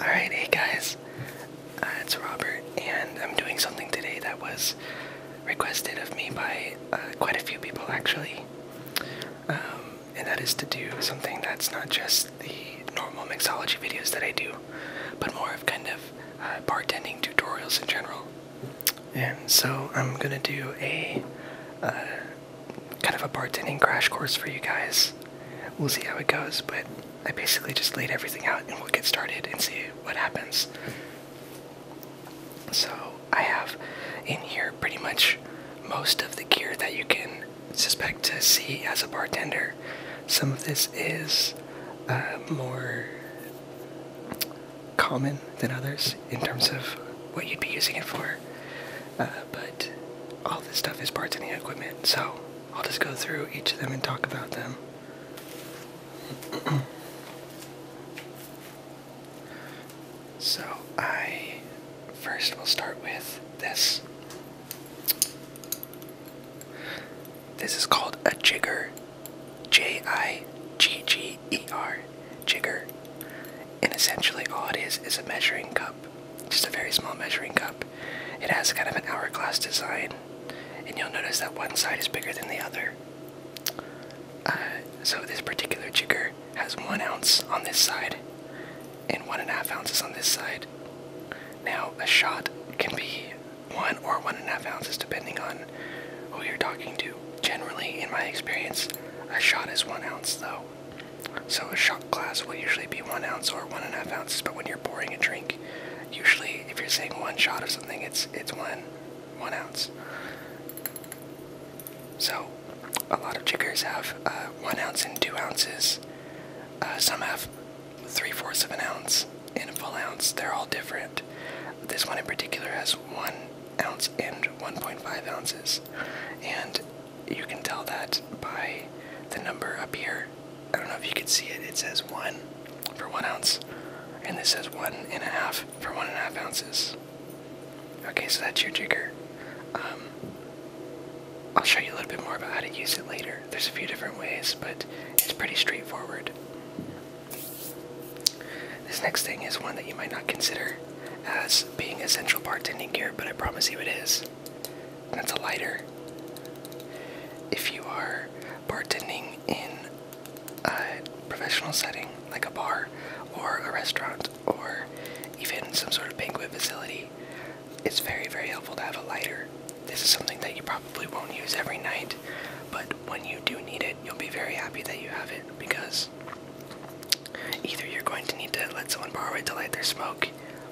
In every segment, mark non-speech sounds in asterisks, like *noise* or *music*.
Alright, hey guys, uh, it's Robert, and I'm doing something today that was requested of me by uh, quite a few people actually. Um, and that is to do something that's not just the normal mixology videos that I do, but more of kind of uh, bartending tutorials in general. And so I'm gonna do a kind of a bartending crash course for you guys. We'll see how it goes, but I basically just laid everything out and we'll get started and see what happens. So I have in here pretty much most of the gear that you can suspect to see as a bartender. Some of this is uh, more common than others in terms of what you'd be using it for. Uh, but all this stuff is parts and the equipment, so I'll just go through each of them and talk about them. *clears throat* so I first will start with this. This is called a jigger. J I G G E R. Jigger. And essentially all it is is a measuring cup just a very small measuring cup. It has kind of an hourglass design, and you'll notice that one side is bigger than the other. Uh, so this particular jigger has one ounce on this side, and one and a half ounces on this side. Now a shot can be one or one and a half ounces depending on who you're talking to. Generally, in my experience, a shot is one ounce though. So a shot glass will usually be one ounce or one and a half ounces, but when you're pouring a drink, usually if you're saying one shot of something, it's it's one one ounce. So a lot of jiggers have uh, one ounce and two ounces. Uh, some have three fourths of an ounce and a full ounce. They're all different. This one in particular has one ounce and 1.5 ounces, and you can tell that by the number up here. I don't know if you can see it. It says one for one ounce, and this says one and a half for one and a half ounces. Okay, so that's your jigger. Um, I'll show you a little bit more about how to use it later. There's a few different ways, but it's pretty straightforward. This next thing is one that you might not consider as being essential bartending gear, but I promise you it is. That's a lighter. If you are bartending in a professional setting, like a bar or a restaurant or even some sort of banquet facility, it's very, very helpful to have a lighter. This is something that you probably won't use every night, but when you do need it, you'll be very happy that you have it because either you're going to need to let someone borrow it to light their smoke,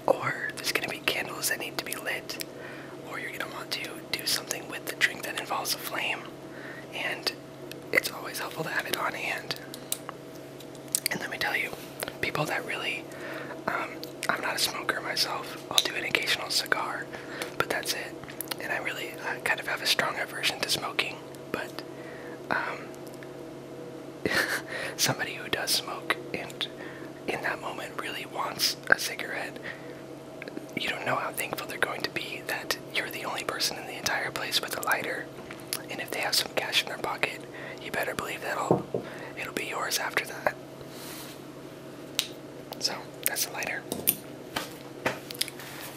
or there's going to be candles that need to be lit, or you're going to want to do something with the drink that involves a flame, and it's always helpful to have it on hand. And let me tell you, people that really, um, I'm not a smoker myself, I'll do an occasional cigar, but that's it. And I really uh, kind of have a strong aversion to smoking, but um, *laughs* somebody who does smoke and in that moment really wants a cigarette, you don't know how thankful they're going to be that you're the only person in the entire place with a lighter. And if they have some cash in their pocket, you better believe that all it'll be yours after that. So that's a lighter.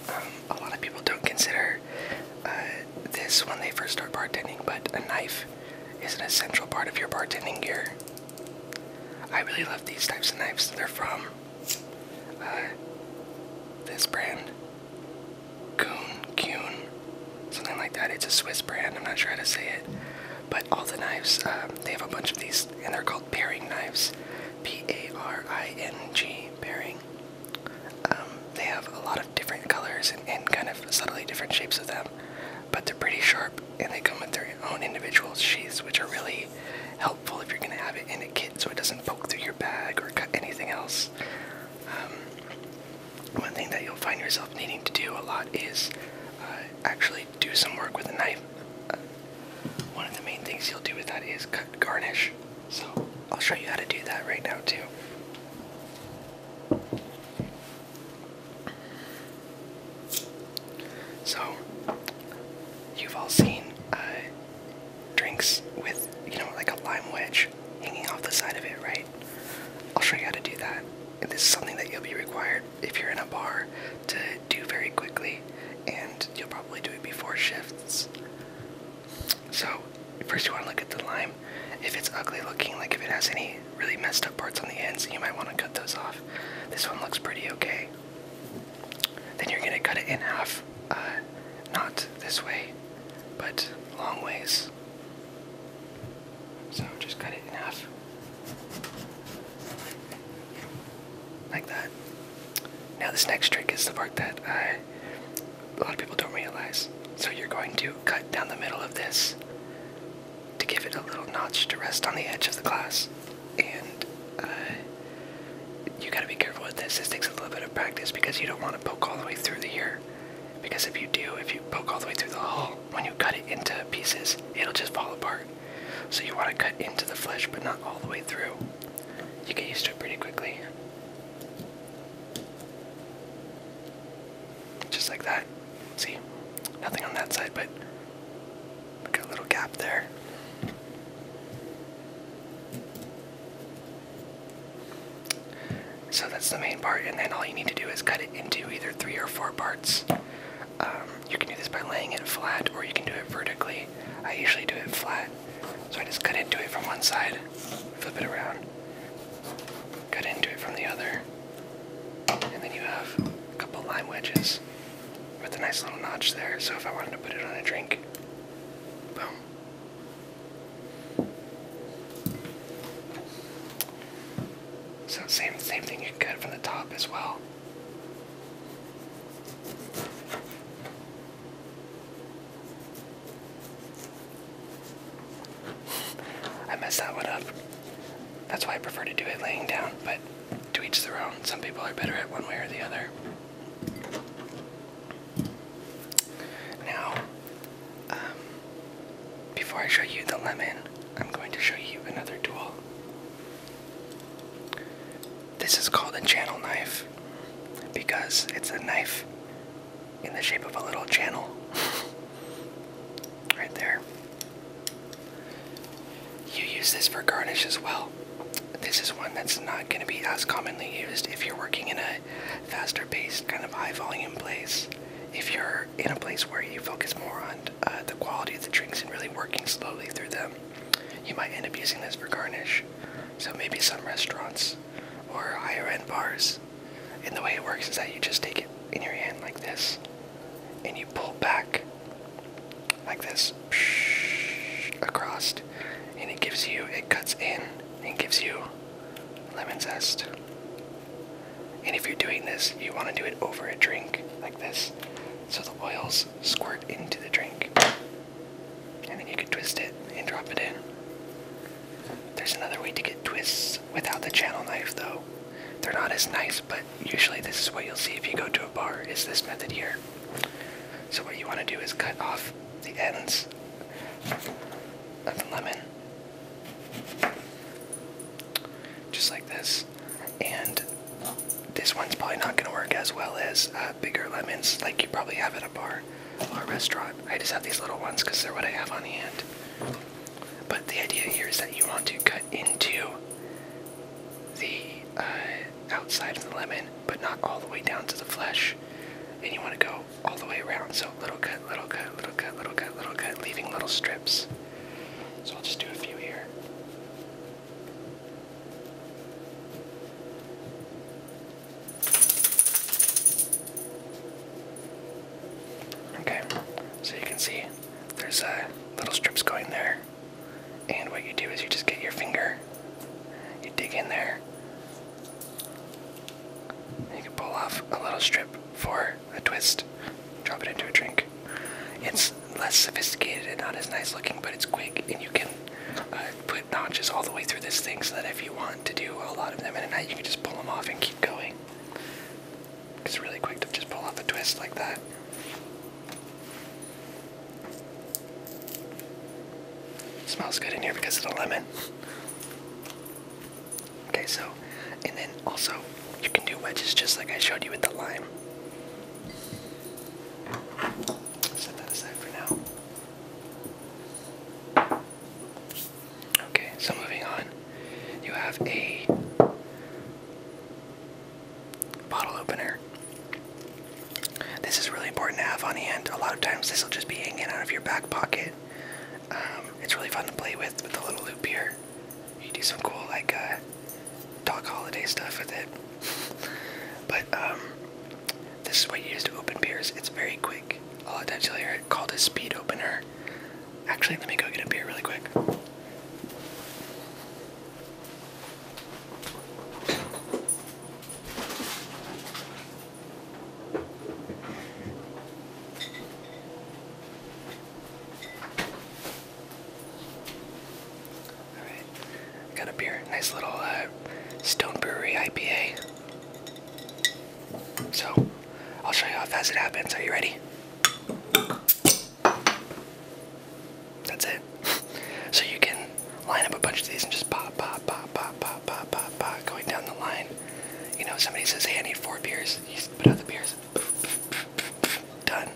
Um, a lot of people don't consider uh, this when they first start bartending, but a knife is an essential part of your bartending gear. I really love these types of knives. They're from uh, this brand, Kuhn, Kuhn, something like that. It's a Swiss brand. I'm not sure how to say it. But all the knives, um, they have a bunch of these, and they're called paring knives. P A R I N G, paring. Um, they have a lot of different colors and, kind of subtly different shapes of them, but they're pretty sharp and they come with their own individual sheaths, which are really helpful if you're going to have it in a kit so it doesn't poke through your bag or cut anything else. Um, one thing that you'll find yourself needing to do a lot is uh, actually do some work with a knife. Uh, one of the main things you'll do with that is cut garnish. So I'll show you how to do that right now, too. So, you've all seen uh, drinks with, you know, like a lime wedge hanging off the side of it, right? I'll show you how to do that. this is something that you'll be required if you're in a bar to do very quickly, and you'll probably do it before shifts. So first you want to look at the lime. If it's ugly looking, like if it has any really messed up parts on the ends, you might want to cut those off. This one looks pretty okay. Then you're gonna cut it in half, uh, not this way, but long ways. So just cut it in half. Like that. Now this next trick is the part that uh, a lot of people don't realize. So you're going to cut down the middle of this to give it a little notch to rest on the edge of the glass. And uh, you gotta be careful with this. This takes a little bit of practice because you don't want to poke all the way through the ear. Because if you do, if you poke all the way through the hole, when you cut it into pieces, it'll just fall apart. So you want to cut into the flesh, but not all the way through. You get used to it pretty quickly. Just like that. See, nothing on that side, but got a little gap there. So that's the main part, and then all you need to do is cut it into either three or four parts. Um, you can do this by laying it flat, or you can do it vertically. I usually do it flat, so I just cut into it from one side, flip it around, cut into it from the other. And then you have a couple lime wedges with a nice little notch there. So if I wanted to put it on a drink, boom. So same same thing you cut from the top as well. I messed that one up. That's why I prefer to do it laying down, but to each their own. Some people are better at one way or the other. Now, um, before I show you the lemon, I'm going to show you another tool. This is called a channel knife because it's a knife in the shape of a little channel *laughs* right there. You use this for garnish as well. This is one that's not going to be as commonly used if you're working in a faster paced, kind of high volume place. If you're in a place where you focus more on uh, the quality of the drinks and really working slowly through them, you might end up using this for garnish. So maybe some restaurants or higher bars. And the way it works is that you just take it in your hand like this and you pull back like this across and it gives you it cuts in and gives you lemon zest. And if you're doing this, you want to do it over a drink like this so the oils squirt into the drink. And then you can twist it and drop it in. There's another way to get twists without the channel knife though. They're not as nice, but usually this is what you'll see if you go to a bar, is this method here. So what you want to do is cut off the ends of the lemon. Just like this. And this one's probably not going to work as well as uh, bigger lemons like you probably have at a bar or restaurant. I just have these little ones because they're what I have on hand. But the idea here is that you want to cut into the uh, outside of the lemon, but not all the way down to the flesh. And you want to go all the way around. So little cut, little cut, little cut, little cut, little cut, leaving little strips. So I'll just do a few here. Okay, so you can see there's uh, little strips going there, and what you do is you just get your finger, you dig in there, and you can pull off a little strip for a twist, drop it into a drink. It's less sophisticated and not as nice looking, but it's quick, and you can uh, put notches all the way through this thing so that if you want to do a lot of them in a night, you can just pull them off and keep going. It's really quick to just pull off a twist like that. smells good in here because of the lemon. Okay, so, and then also, you can do wedges just like I showed you with the lime. Set that aside for now. Okay, so moving on, you have a bottle opener. This is really important to have on hand. A lot of times, this will just be hanging out of your back pocket. Um, it's really fun to play with with a little loop here. You do some cool like dog uh, holiday stuff with it. *laughs* but um, this is what you use to open beers. It's very quick. A lot of times you'll hear it called a speed opener. Actually, let me go get a beer really quick. Alright, got a beer. Nice little uh, Stone Brewery IPA. So, I'll show you how fast it happens. Are you ready? That's it. *laughs* so you can line up a bunch of these and just pop, pop, pop, pop, pop, pop, pop, pop, going down the line. You know, somebody says, hey, I need four beers. You put out the beers. Done.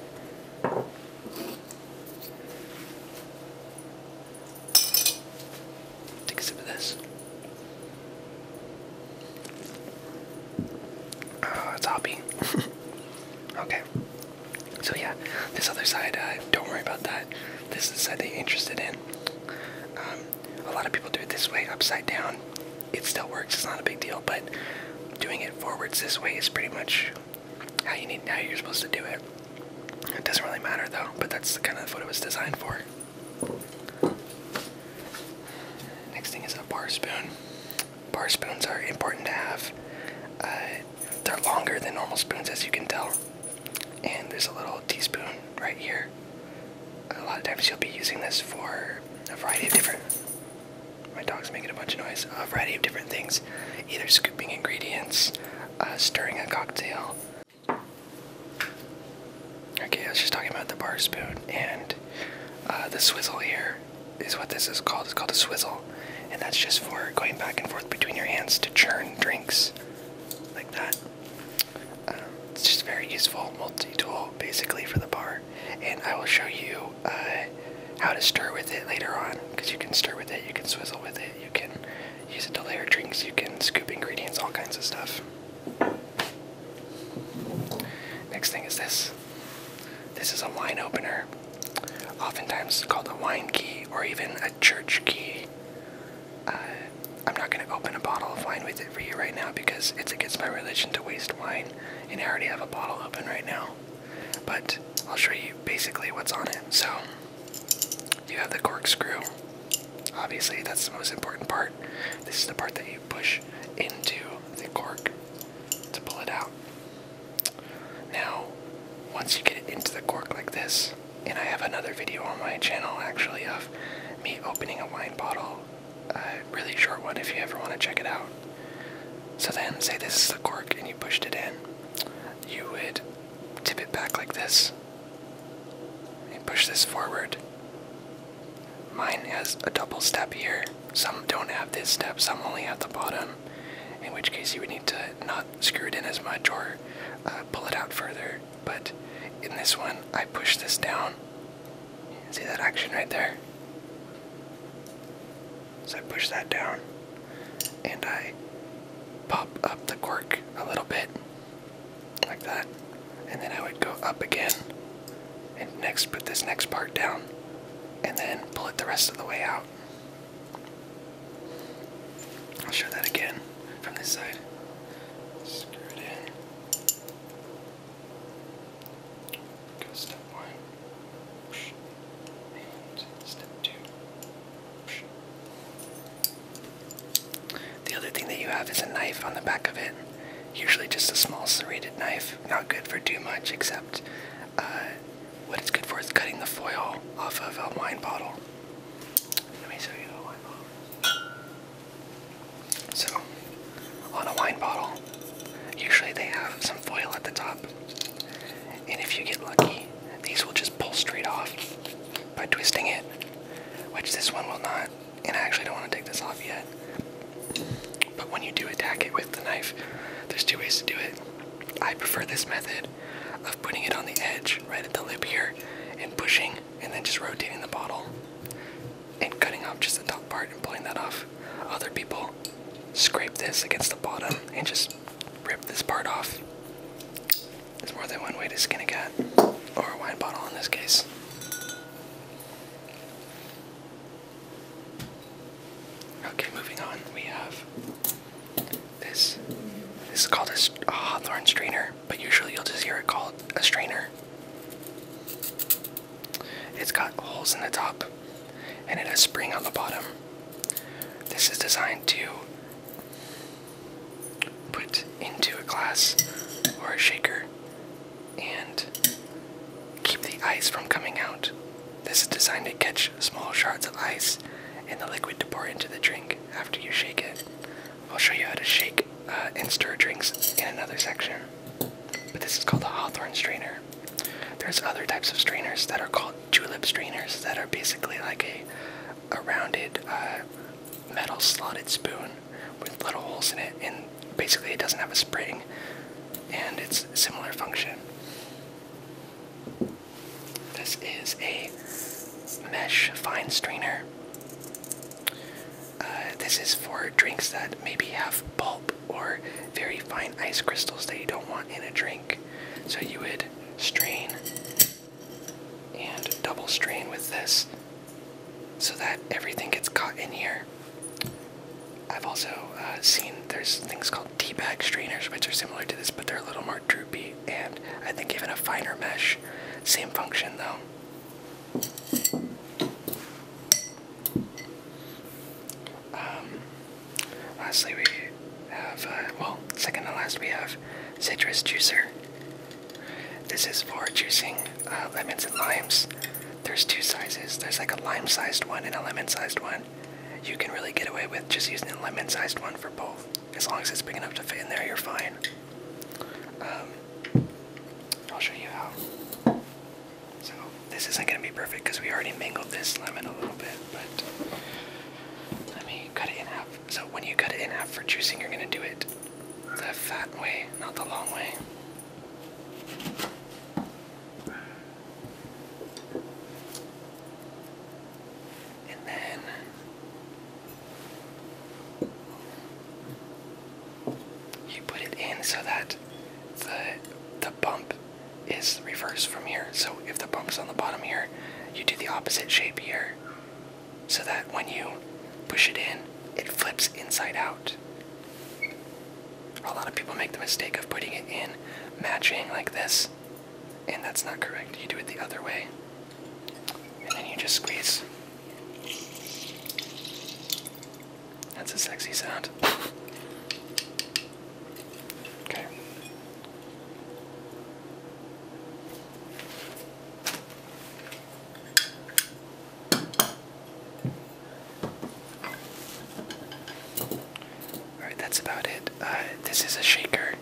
Take a sip of this. Oh, it's hoppy. *laughs* okay. So yeah, this other side, uh, don't worry about that. This is the side that you're interested in. Um, a lot of people do it this way, upside down. It still works. It's not a big deal, but doing it forwards this way is pretty much how you need how you're supposed to do it. It doesn't really matter though, but that's the kind of what it was designed for. Next thing is a bar spoon. Bar spoons are important to have. Uh, they're longer than normal spoons, as you can tell. And there's a little teaspoon right here. A lot of times you'll be using this for a variety of different. My dog's making a bunch of noise. A variety of different things, either scooping ingredients, uh, stirring a cocktail, Okay, I was just talking about the bar spoon and uh, the swizzle here is what this is called. It's called a swizzle, and that's just for going back and forth between your hands to churn drinks like that. Um, it's just very useful multi-tool basically for the bar, and I will show you uh, how to stir with it later on because you can stir with it, you can swizzle with it, you can Use it to layer drinks. You can scoop ingredients, all kinds of stuff. Next thing is this. This is a wine opener, oftentimes called a wine key or even a church key. Uh, I'm not going to open a bottle of wine with it for you right now because it's against my religion to waste wine, and I already have a bottle open right now. But I'll show you basically what's on it. So you have the corkscrew. Obviously, that's the most important part. This is the part that you push into the cork to pull it out. Now, once you get it into the cork like this, and I have another video on my channel actually of me opening a wine bottle, a really short one if you ever want to check it out. So then, say this is the cork and you pushed it in, you would tip it back like this and push this forward. Mine has a double step here. Some don't have this step, some only have the bottom, in which case you would need to not screw it in as much or uh, pull it out further. But in this one, I push this down. See that action right there? So I push that down and I pop up the cork a little bit like that. And then I would go up again and next put this next part down and then pull it the rest of the way out. I'll show that again from this side. Screw it in. Go step one. And step two. The other thing that you have is a knife on the back of it, usually just a small serrated knife, not good for too much except uh, what it's good for is cutting the foil off of a wine bottle. So, on a wine bottle, usually they have some foil at the top, and if you get lucky, these will just pull straight off by twisting it, which this one will not. And I actually don't want to take this off yet. But when you do attack it with the knife, there's two ways to do it. I prefer this method of putting it on the edge, right at the lip here, and pushing, and then just rotating the bottle and cutting off just the top part and pulling that off. Other people scrape this against the bottom and just rip this part off. There's more than one way to skin a cat, or a wine bottle in this case. Okay, moving on. We have this. This is called a, a strainer, but usually you'll just hear it called a strainer. It's got holes in the top, and it has spring on the bottom. This is designed to put into a glass or a shaker and keep the ice from coming out. This is designed to catch small shards of ice and the liquid to pour into the drink after you shake it. I'll show you how to shake uh, and stir drinks in another section. But this is called a hawthorn strainer. There's other types of strainers that are called julep strainers that are basically like a a rounded metal slotted spoon with little holes in it, and basically it doesn't have a spring, and it's similar function. This is a mesh fine strainer. Uh, this is for drinks that maybe have pulp or very fine ice crystals that you don't want in a drink. So you would strain and double strain with this so that everything gets caught in here. I've also uh, seen there's things called tea bag strainers which are similar to this but they're a little more droopy and I think even a finer mesh. Same function though. Um, lastly we uh, well, second to last, we have Citrus Juicer. This is for juicing uh, lemons and limes. There's two sizes. There's like a lime-sized one and a lemon-sized one. You can really get away with just using a lemon-sized one for both. As long as it's big enough to fit in there, you're fine. Um, I'll show you how. So this isn't going to be perfect because we already mingled this lemon a little bit, but let me cut it in half so when you cut it in half for juicing, you're going to do it the fat way, not the long way. And then you put it in so that the the bump is reversed from here. So if the bump's on the bottom here, you do the opposite shape here so that when you push it in, it flips inside out. A lot of people make the mistake of putting it in matching like this, and that's not correct. You do it the other way, and then you just squeeze. That's a sexy sound. *laughs* Okay. Alright, that's about it. Uh, this is a shaker.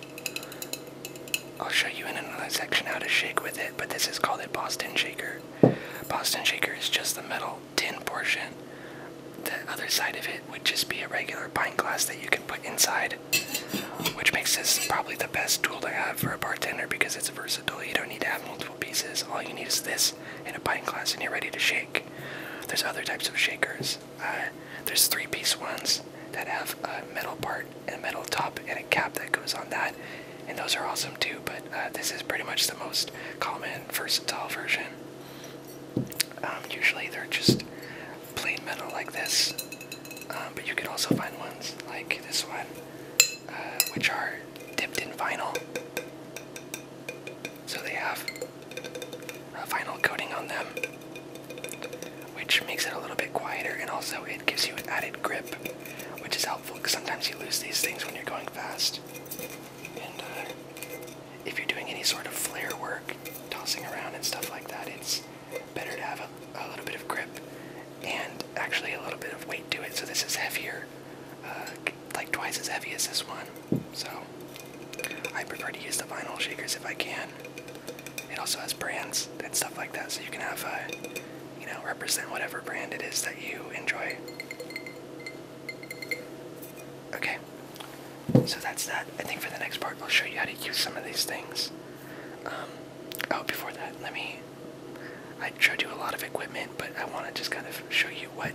I'll show you in another section how to shake with it, but this is called a Boston shaker. Boston shaker is just the metal tin portion. The other side of it would just be a regular pint glass that you can put inside which makes this probably the best tool to have for a bartender because it's versatile. You don't need to have multiple pieces. All you need is this and a pint glass, and you're ready to shake. There's other types of shakers. Uh, there's three-piece ones that have a metal part and a metal top and a cap that goes on that, and those are awesome too. But uh, this is pretty much the most common versatile version. Um, usually they're just plain metal like this, um, but you can also find ones like this one, uh, which are dipped in vinyl. So they have a vinyl coating on them, which makes it a little bit quieter, and also it gives you an added grip, which is helpful because sometimes you lose these things when you're going fast. And uh, if you're doing any sort of flare work, tossing around and stuff like that, it's better to have a, little bit of grip and actually a little bit of weight to it. So this is heavier, uh, like twice as heavy as this one. So I prefer to use the vinyl shakers if I can. It also has brands and stuff like that, so you can have, uh, you know, represent whatever brand it is that you enjoy. Okay, so that's that. I think for the next part, I'll show you how to use some of these things. Um, oh, before that, let me. I showed you a lot of equipment, but I want to just kind of show you what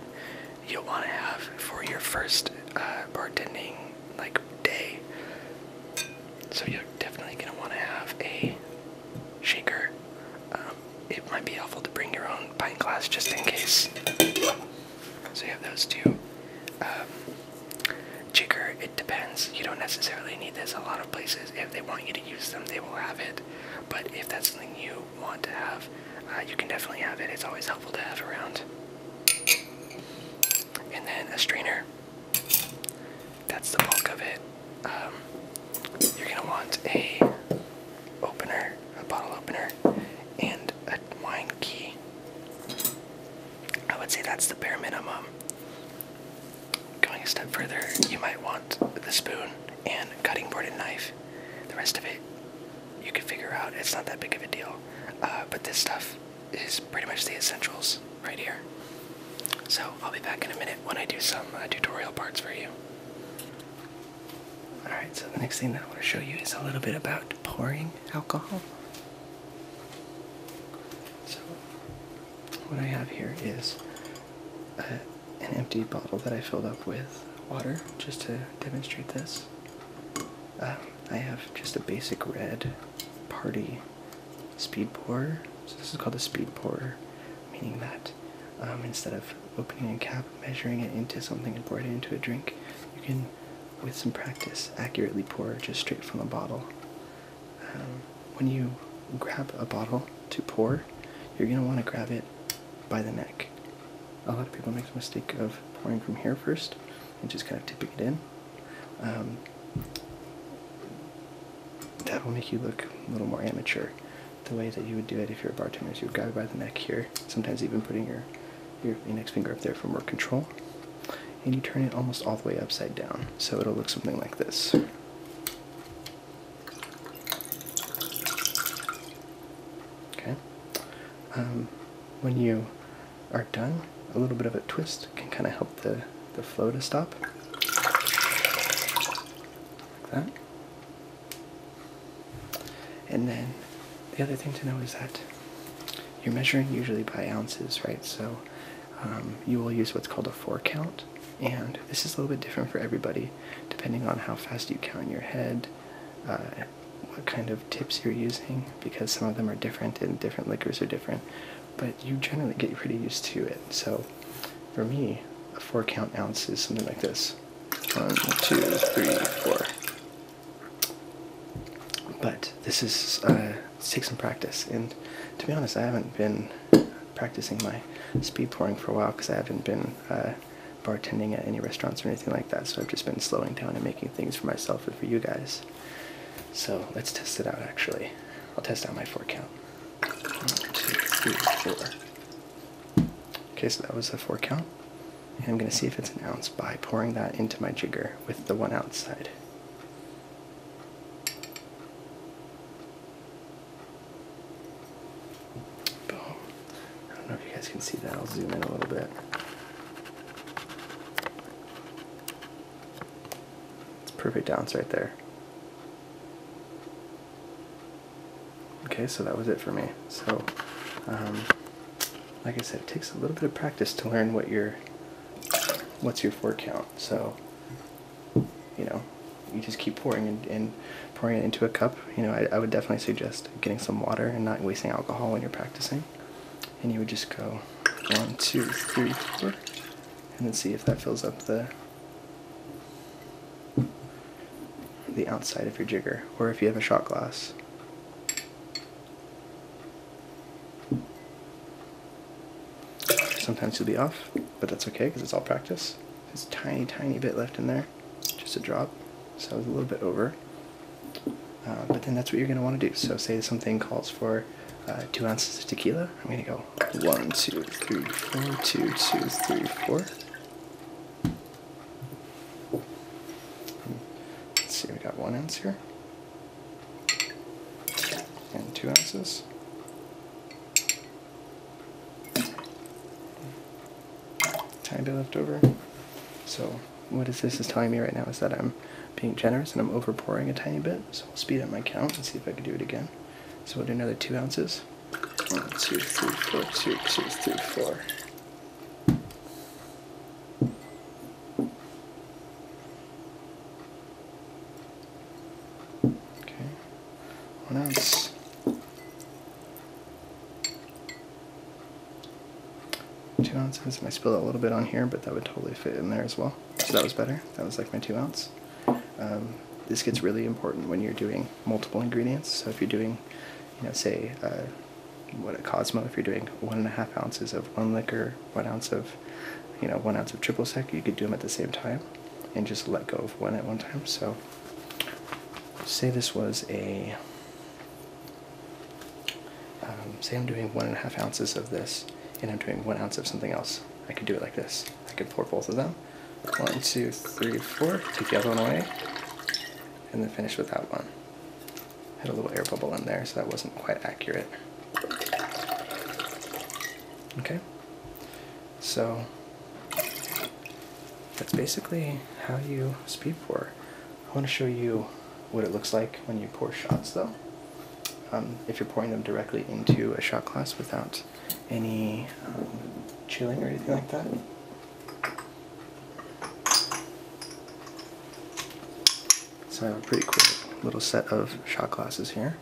you'll want to have for your first uh, bartending like day. So you're definitely going to want to have a shaker. Um, it might be helpful to bring your own pint glass just in case. So you have those two. Um, Jigger, it depends. You don't necessarily need this. A lot of places, if they want you to use them, they will have it. But if that's something you want to have, uh, you can definitely have it. It's always helpful to have around. And then a strainer. That's the bulk of it. Um, you're gonna want a opener, a bottle opener, and a wine key. I would say that's the bare minimum. Going a step further, you might want the spoon and cutting board and knife. The rest of it, you can figure out. It's not that big of a deal. Uh, but this stuff is pretty much the essentials right here. So I'll be back in a minute when I do some uh, tutorial parts for you. Alright, so the next thing that I want to show you is a little bit about pouring alcohol. So, what I have here is uh, an empty bottle that I filled up with water just to demonstrate this. Um, I have just a basic red party speed pour. So, this is called a speed pour, meaning that um, instead of opening a cap, measuring it into something, and pouring it into a drink, you can with some practice, accurately pour just straight from a bottle. Um, when you grab a bottle to pour, you're going to want to grab it by the neck. A lot of people make the mistake of pouring from here first and just kind of tipping it in. Um, that will make you look a little more amateur. The way that you would do it if you're a bartender is you would grab it by the neck here, sometimes even putting your your, index finger up there for more control, and you turn it almost all the way upside down. So it'll look something like this. Okay. Um, when you are done, a little bit of a twist can kind of help the, the flow to stop. Like that. And then the other thing to know is that you're measuring usually by ounces, right? So um, you will use what's called a four count, and this is a little bit different for everybody depending on how fast you count in your head, uh, what kind of tips you're using, because some of them are different and different liquors are different. But you generally get pretty used to it. So for me, a four count ounce is something like this one, two, three, four. But this is uh, takes some practice, and to be honest, I haven't been practicing my speed pouring for a while because I haven't been uh, bartending at any restaurants or anything like that. So I've just been slowing down and making things for myself and for you guys. So let's test it out. Actually, I'll test out my four count. One, two, three, four. Okay, so that was a four count. I'm going to see if it's an ounce by pouring that into my jigger with the one outside. I don't know if you guys can see that. I'll zoom in a little bit. It's perfect ounce right there. Okay, so that was it for me. So, um, like I said, it takes a little bit of practice to learn what your what's your four count. So, you know, you just keep pouring and, pouring it into a cup. You know, I, I, would definitely suggest getting some water and not wasting alcohol when you're practicing. And you would just go one, two, three, four, and then see if that fills up the the outside of your jigger, or if you have a shot glass. Sometimes you'll be off, but that's okay because it's all practice. There's a tiny, tiny bit left in there, just a drop. So it's a little bit over. Uh, but then that's what you're going to want to do. So say something calls for uh, two ounces of tequila. I'm going to go one, two, three, four, two, two, three, four. Let's see, we got one ounce here and two ounces. Tiny bit left over. So what is this is telling me right now is that I'm being generous and I'm overpouring a tiny bit. So I'll speed up my count and see if I can do it again. So we'll do another two ounces. One, two, three, four, two, two, three, four. Okay, one ounce. Two ounces, and I spilled a little bit on here, but that would totally fit in there as well. So that was better. That was like my two ounce. Um, this gets really important when you're doing multiple ingredients. So if you're doing, you know, say uh, what a Cosmo if you're doing one and a half ounces of one liquor, one ounce of, you know, one ounce of triple sec. You could do them at the same time, and just let go of one at one time. So, say this was a, um, say I'm doing one and a half ounces of this, and I'm doing one ounce of something else. I could do it like this. I could pour both of them. One, two, three, four. Take the other one away, and then finish with that one had a little air bubble in there, so that wasn't quite accurate. Okay, so that's basically how you speed pour. I want to show you what it looks like when you pour shots, though. Um, if you're pouring them directly into a shot glass without any um, chilling or anything like that. So I have a pretty cool little set of shot glasses here.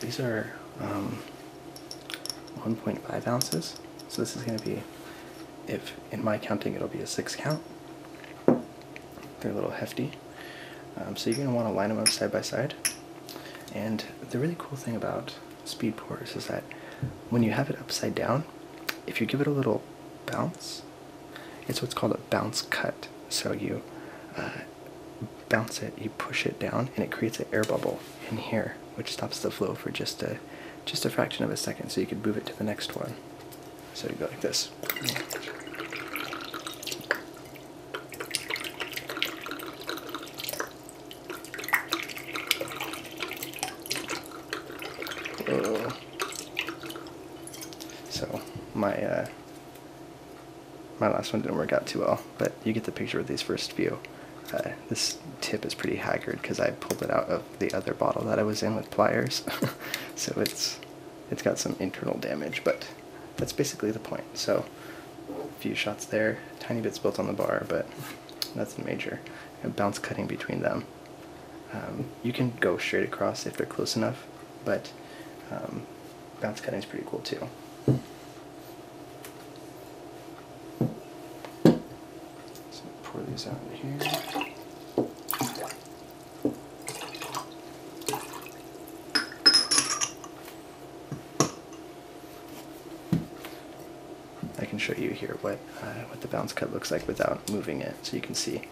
These are um, 1.5 ounces, so this is going to be, if in my counting, it'll be a 6 count. They're a little hefty. Um, so you're going to want to line them up side by side. And the really cool thing about speed pours is that when you have it upside down, if you give it a little bounce, it's what's called a bounce cut. So you uh, bounce it, you push it down, and it creates an air bubble in here, which stops the flow for just a just a fraction of a second. So you can move it to the next one. So you go like this. So my uh, my last one didn't work out too well, but you get the picture with these first few. Uh, this tip is pretty haggard because I pulled it out of the other bottle that I was in with pliers, *laughs* so it's it's got some internal damage, but that's basically the point. So a few shots there, tiny bit spilled on the bar, but that's nothing major and bounce cutting between them. Um, you can go straight across if they're close enough, but um, bounce cutting is pretty cool too. So pour these out here. I can show you here what uh, what the bounce cut looks like without moving it, so you can see.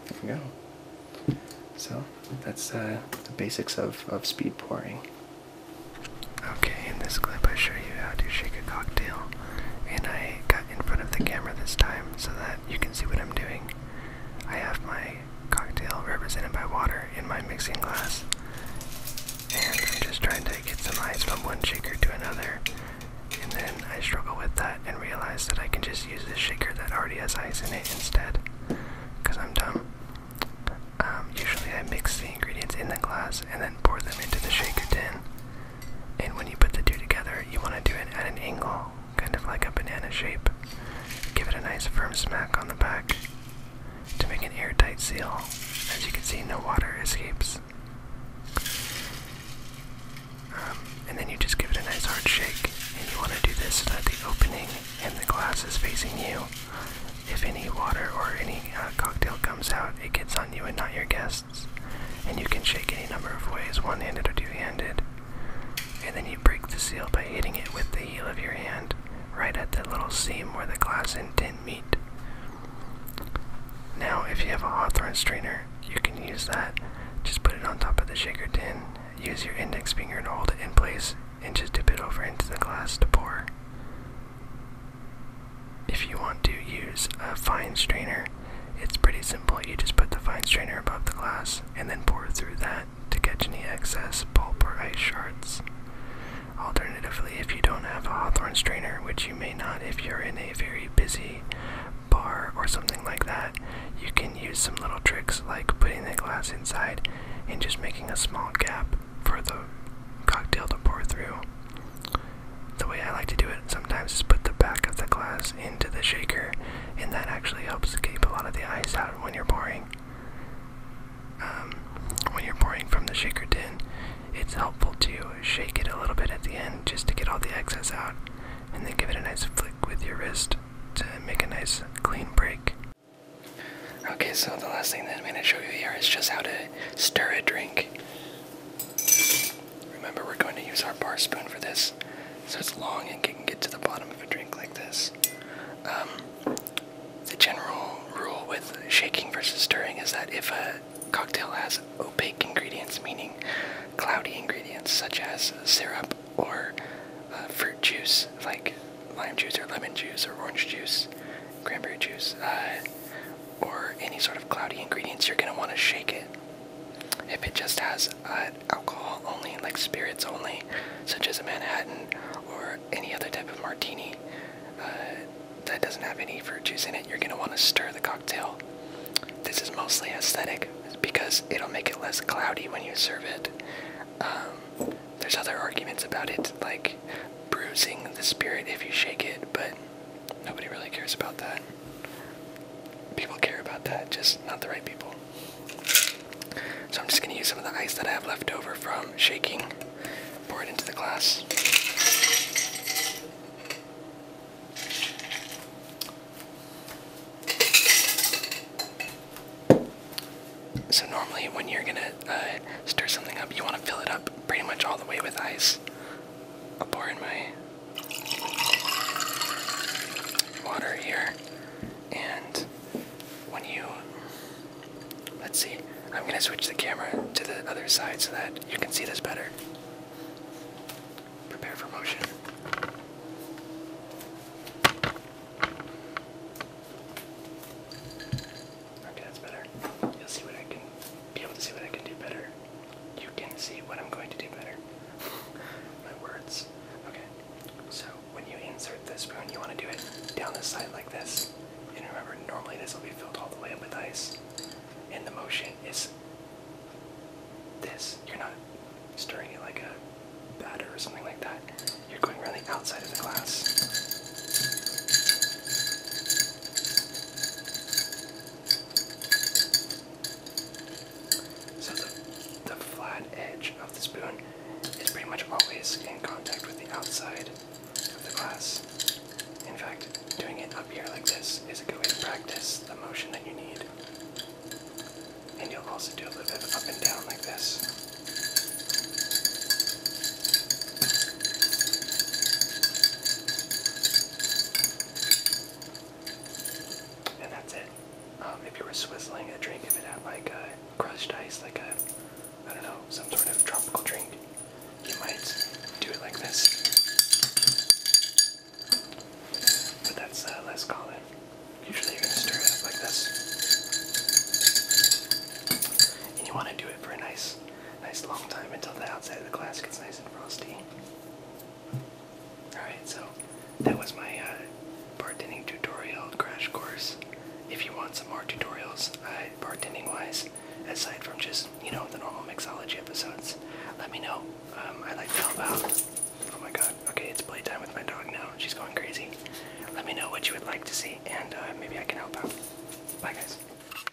There we go. So that's uh, the basics of, of speed pouring. Okay, in this clip I show you how to shake a cocktail, and I got in front of the camera this time so that you can see what I'm doing. I have my cocktail represented by water in my mixing glass, and I'm just trying to get some ice from one shaker to another. And then I struggle with that and realize that I can just use this shaker that already has ice in it instead, because I'm dumb. Um, usually I mix the ingredients in the glass and then pour them into the shaker tin. And when you put the two together, you want to do it at an angle, kind of like a banana shape. Give it a nice firm smack on the back to make an airtight seal. As you can see, no water escapes. Um, and then you just give it a nice hard shake. And you want to do this so that the opening in the glass is facing you. If any water or any uh, cocktail comes out, it gets on you and not your guests and you can shake any number of ways, one handed or two handed. And then you break the seal by hitting it with the heel of your hand right at the little seam where the glass and tin meet. Now, if you have a Hawthorne strainer, you can use that. Just put it on top of the shaker tin, use your index finger to hold it in place, and just dip it over into the glass to pour if you want to use a fine strainer, it's pretty simple. You just put the fine strainer above the glass and then pour through that to catch any excess pulp or ice shards. Alternatively, if you don't have a Hawthorne strainer, which you may not if you're in a very busy bar or something like that, you can use some little tricks like putting the glass inside and just making a small gap for the cocktail to pour through the way I like to do it sometimes is put the back of the glass into the shaker, and that actually helps keep a lot of the ice out when you're pouring. Um, when you're pouring from the shaker tin, it's helpful to shake it a little bit at the end just to get all the excess out, and then give it a nice flick with your wrist to make a nice clean break. Okay, so the last thing that I'm going to show you here is just how to stir a drink. Remember, we're going to use our bar spoon for this, so it's long and can get to the bottom of a drink like this. Um, the general rule with shaking versus stirring is that if a cocktail has opaque ingredients, meaning cloudy ingredients such as syrup or uh, fruit juice like lime juice or lemon juice or orange juice, cranberry juice, uh, or any sort of cloudy ingredients, you're going to want to shake it. If it just has uh, alcohol only, like spirits only, such as a Manhattan or any other type of martini uh, that doesn't have any fruit juice in it, you're going to want to stir the cocktail. This is mostly aesthetic because it'll make it less cloudy when you serve it. Um, there's other arguments about it, like bruising the spirit if you shake it, but Nobody really cares about that. People care about that, just not the right people. So I'm just gonna use some of the ice that I have left over from shaking, pour it into the glass. So normally when you're gonna uh, stir something up, you wanna fill it up pretty much all the way with ice i pour in my water here. And when you. Let's see. I'm going to switch the camera to the other side so that you can see this better. Prepare for motion. Okay, that's better. You'll see what I can be able to see what I can do better. You can see what I'm going to do better. *laughs* My words. Okay. So when you insert the spoon, you want to do it down the side like this. And remember, normally this will be filled all the way up with ice. And the motion is this. You're not stirring it like a batter or something like that. You're going around the outside of the glass. So the, the flat edge of the spoon is pretty much always in contact with the outside of the glass. In fact, doing it up here like this is a good way to practice the motion that you need. And you'll also do a little bit up and down like this. And that's it. Um, if you were swizzling a drink, if it had like a crushed ice, like a, I don't know, some sort of tropical drink, you might do it like this. But that's uh, less common. Usually you're gonna stir it up like this. And you wanna do it for a nice Nice long time until the outside of the glass gets nice and frosty. Alright, so that was my uh, bartending tutorial crash course. If you want some more tutorials, uh, bartending wise, aside from just, you know, the normal mixology episodes, let me know. Um, I'd like to help out. Oh my god, okay, it's playtime with my dog now. She's going crazy. Let me know what you would like to see, and uh, maybe I can help out. Bye, guys.